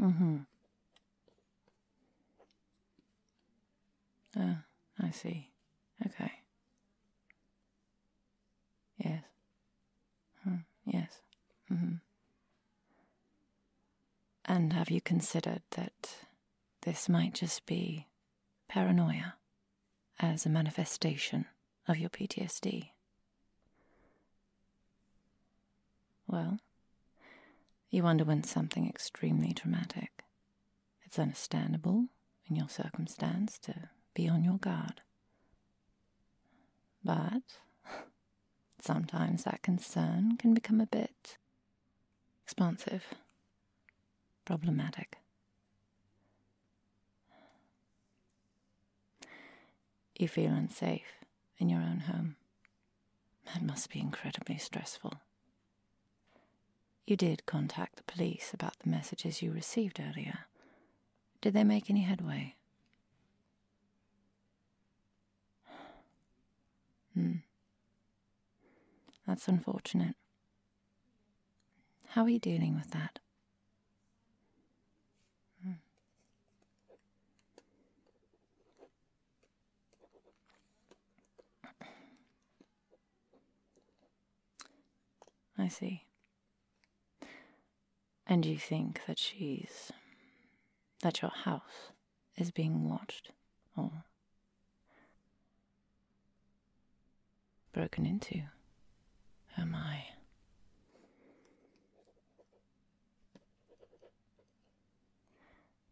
Uh mm-hmm. huh. Ah, I see. Okay. Yes. Hmm. Yes. Mm-hmm. And have you considered that this might just be paranoia as a manifestation of your PTSD. Well, you underwent something extremely traumatic. It's understandable in your circumstance to be on your guard. But sometimes that concern can become a bit Expansive. Problematic. You feel unsafe in your own home. That must be incredibly stressful. You did contact the police about the messages you received earlier. Did they make any headway? hmm. That's unfortunate. How are you dealing with that? Hmm. I see. And you think that she's. that your house is being watched or broken into? Am I?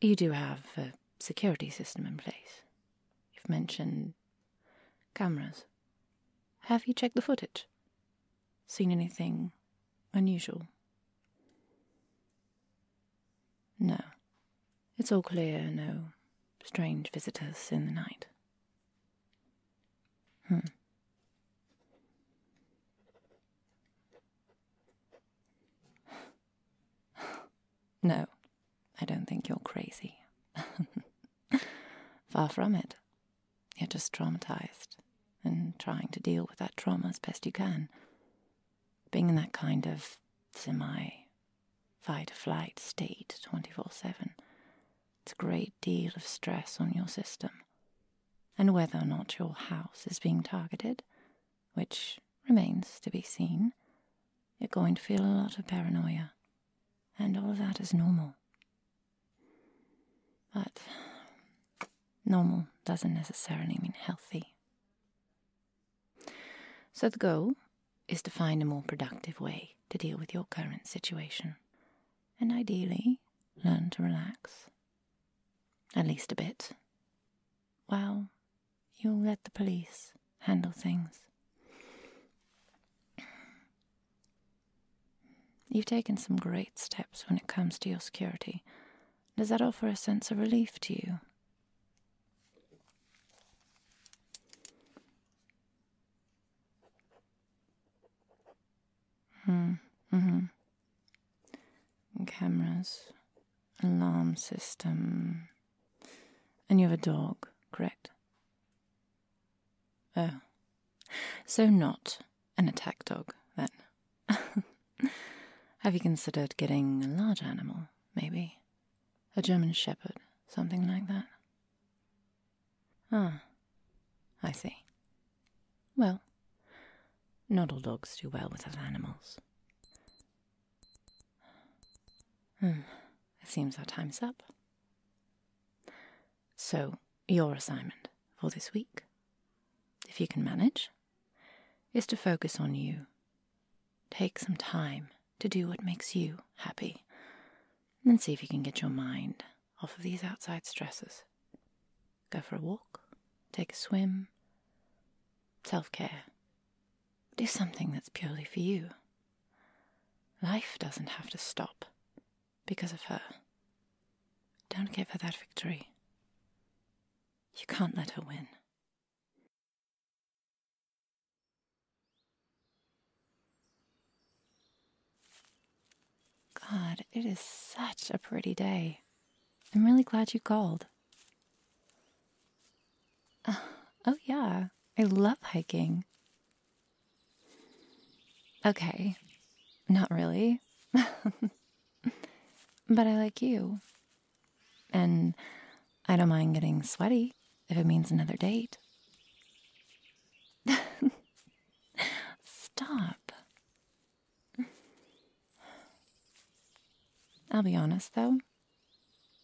You do have a security system in place. You've mentioned cameras. Have you checked the footage? Seen anything unusual? No. It's all clear, no strange visitors in the night. Hmm. No, I don't think you're crazy. Far from it. You're just traumatized and trying to deal with that trauma as best you can being in that kind of semi fight or flight state 24 7, it's a great deal of stress on your system. And whether or not your house is being targeted, which remains to be seen, you're going to feel a lot of paranoia. And all of that is normal. But normal doesn't necessarily mean healthy so, the goal is to find a more productive way to deal with your current situation and ideally learn to relax, at least a bit, while you'll let the police handle things. You've taken some great steps when it comes to your security, does that offer a sense of relief to you? Hmm, mm-hmm. Cameras, alarm system. And you have a dog, correct? Oh. So, not an attack dog, then. Have you considered getting a large animal, maybe? A German Shepherd, something like that? Ah, I see. Well, not all dogs do well with other animals. Hmm, it seems our time's up. So, your assignment for this week, if you can manage, is to focus on you. Take some time to do what makes you happy and see if you can get your mind off of these outside stresses. Go for a walk, take a swim, self care. Do something that's purely for you. Life doesn't have to stop because of her. Don't give her that victory. You can't let her win. God, it is such a pretty day. I'm really glad you called. Uh, oh, yeah, I love hiking. Okay, not really. But I like you. And I don't mind getting sweaty if it means another date. Stop. I'll be honest, though.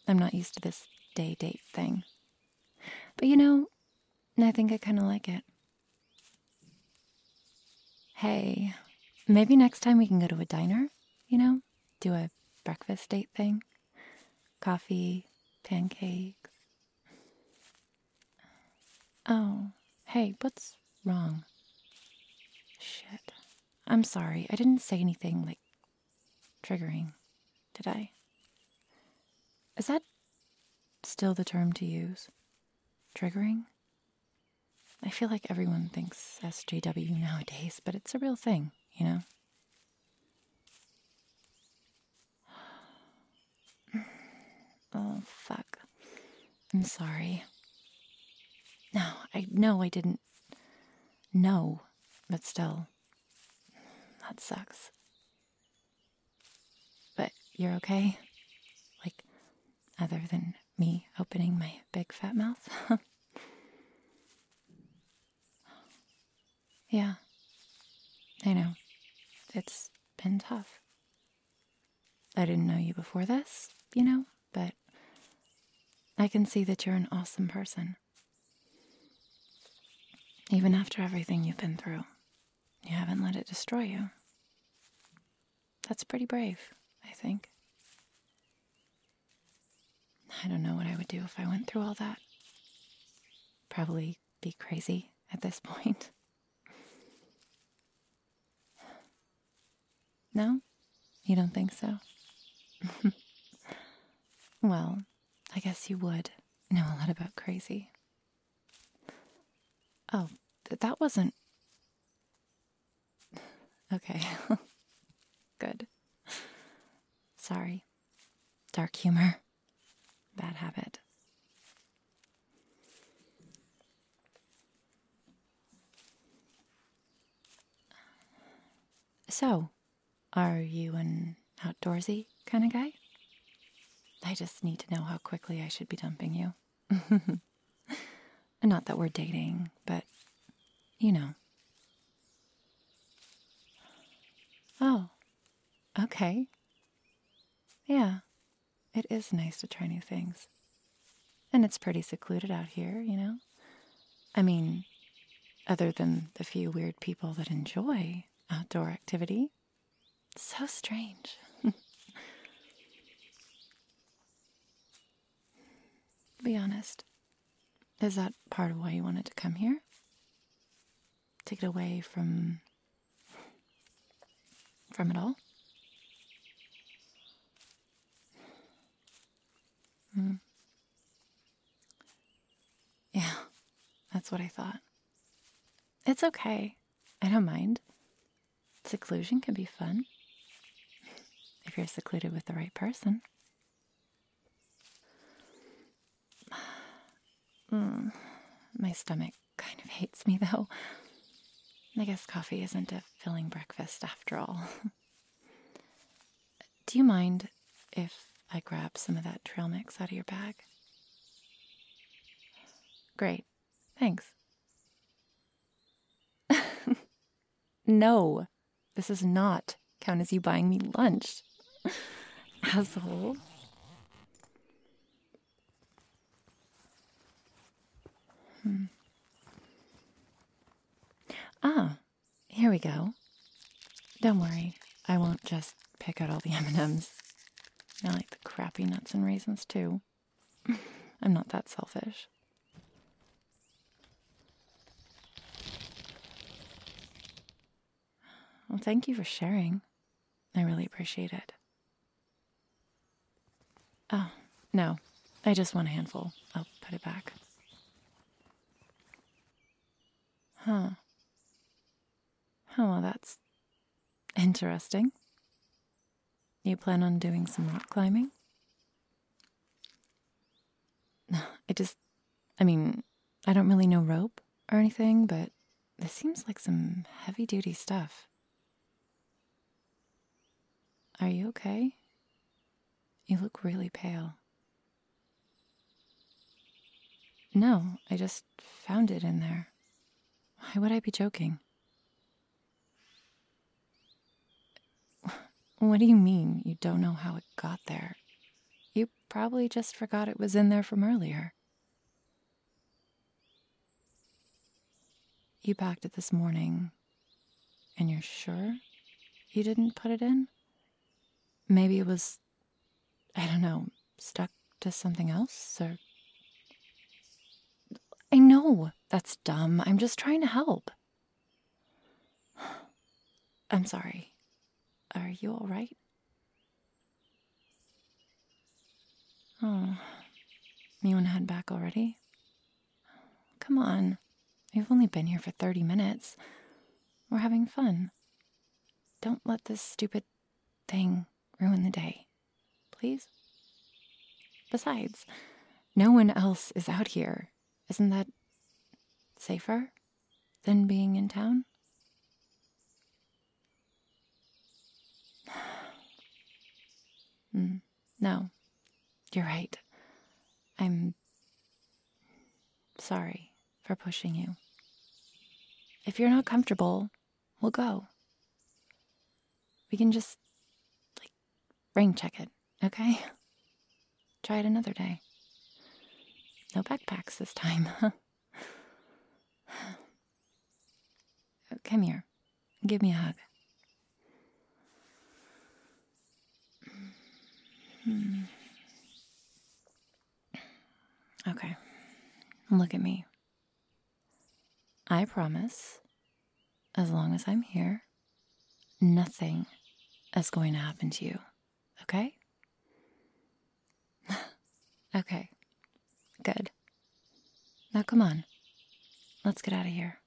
I'm not used to this day date thing. But you know, I think I kind of like it. Hey, maybe next time we can go to a diner, you know? Do a breakfast date thing. Coffee, pancakes. Oh, hey, what's wrong? Shit. I'm sorry. I didn't say anything like triggering, did I? Is that still the term to use? Triggering? I feel like everyone thinks SJW nowadays, but it's a real thing, you know? Oh, fuck. I'm sorry. No, I know I didn't No, but still. That sucks. But you're okay? Like, other than me opening my big fat mouth. yeah, I know. It's been tough. I didn't know you before this, you know, but I can see that you're an awesome person. Even after everything you've been through, you haven't let it destroy you. That's pretty brave, I think. I don't know what I would do if I went through all that. Probably be crazy at this point. No? You don't think so? well, I guess you would know a lot about crazy. Oh, that wasn't. Okay. Good. Sorry. Dark humor. Bad habit. So, are you an outdoorsy kind of guy? I just need to know how quickly I should be dumping you. Not that we're dating, but you know. Oh, okay. Yeah, it is nice to try new things. And it's pretty secluded out here, you know? I mean, other than the few weird people that enjoy outdoor activity. So strange. Be honest. Is that part of why you wanted to come here? Take it away from. from it all? Hmm. Yeah, that's what I thought. It's okay. I don't mind. Seclusion can be fun if you're secluded with the right person. my stomach kind of hates me though. I guess coffee isn't a filling breakfast after all. Do you mind if I grab some of that trail mix out of your bag? Great. Thanks. no, this is not count as you buying me lunch. Asshole. Hmm. Ah, here we go. Don't worry, I won't just pick out all the M&Ms. I like the crappy nuts and raisins too. I'm not that selfish. Well, thank you for sharing. I really appreciate it. Oh, no. I just want a handful. I'll put it back. Huh. Oh, well, that's interesting. You plan on doing some rock climbing? I just, I mean, I don't really know rope or anything, but this seems like some heavy duty stuff. Are you okay? You look really pale. No, I just found it in there. Why would I be joking? What do you mean you don't know how it got there? You probably just forgot it was in there from earlier. You packed it this morning, and you're sure you didn't put it in? Maybe it was I don't know, stuck to something else or. I know that's dumb. I'm just trying to help. I'm sorry. Are you all right? Oh, you want to head back already? Come on. We've only been here for 30 minutes. We're having fun. Don't let this stupid thing ruin the day, please? Besides, no one else is out here. Isn't that safer than being in town? Hmm, no, you're right. I'm sorry for pushing you. If you're not comfortable, we'll go. We can just, like, brain check it, okay? Try it another day. No backpacks this time. Come here. Give me a hug. Hmm. Okay. Look at me. I promise, as long as I'm here, nothing is going to happen to you, okay? okay, good. Now come on, let's get out of here.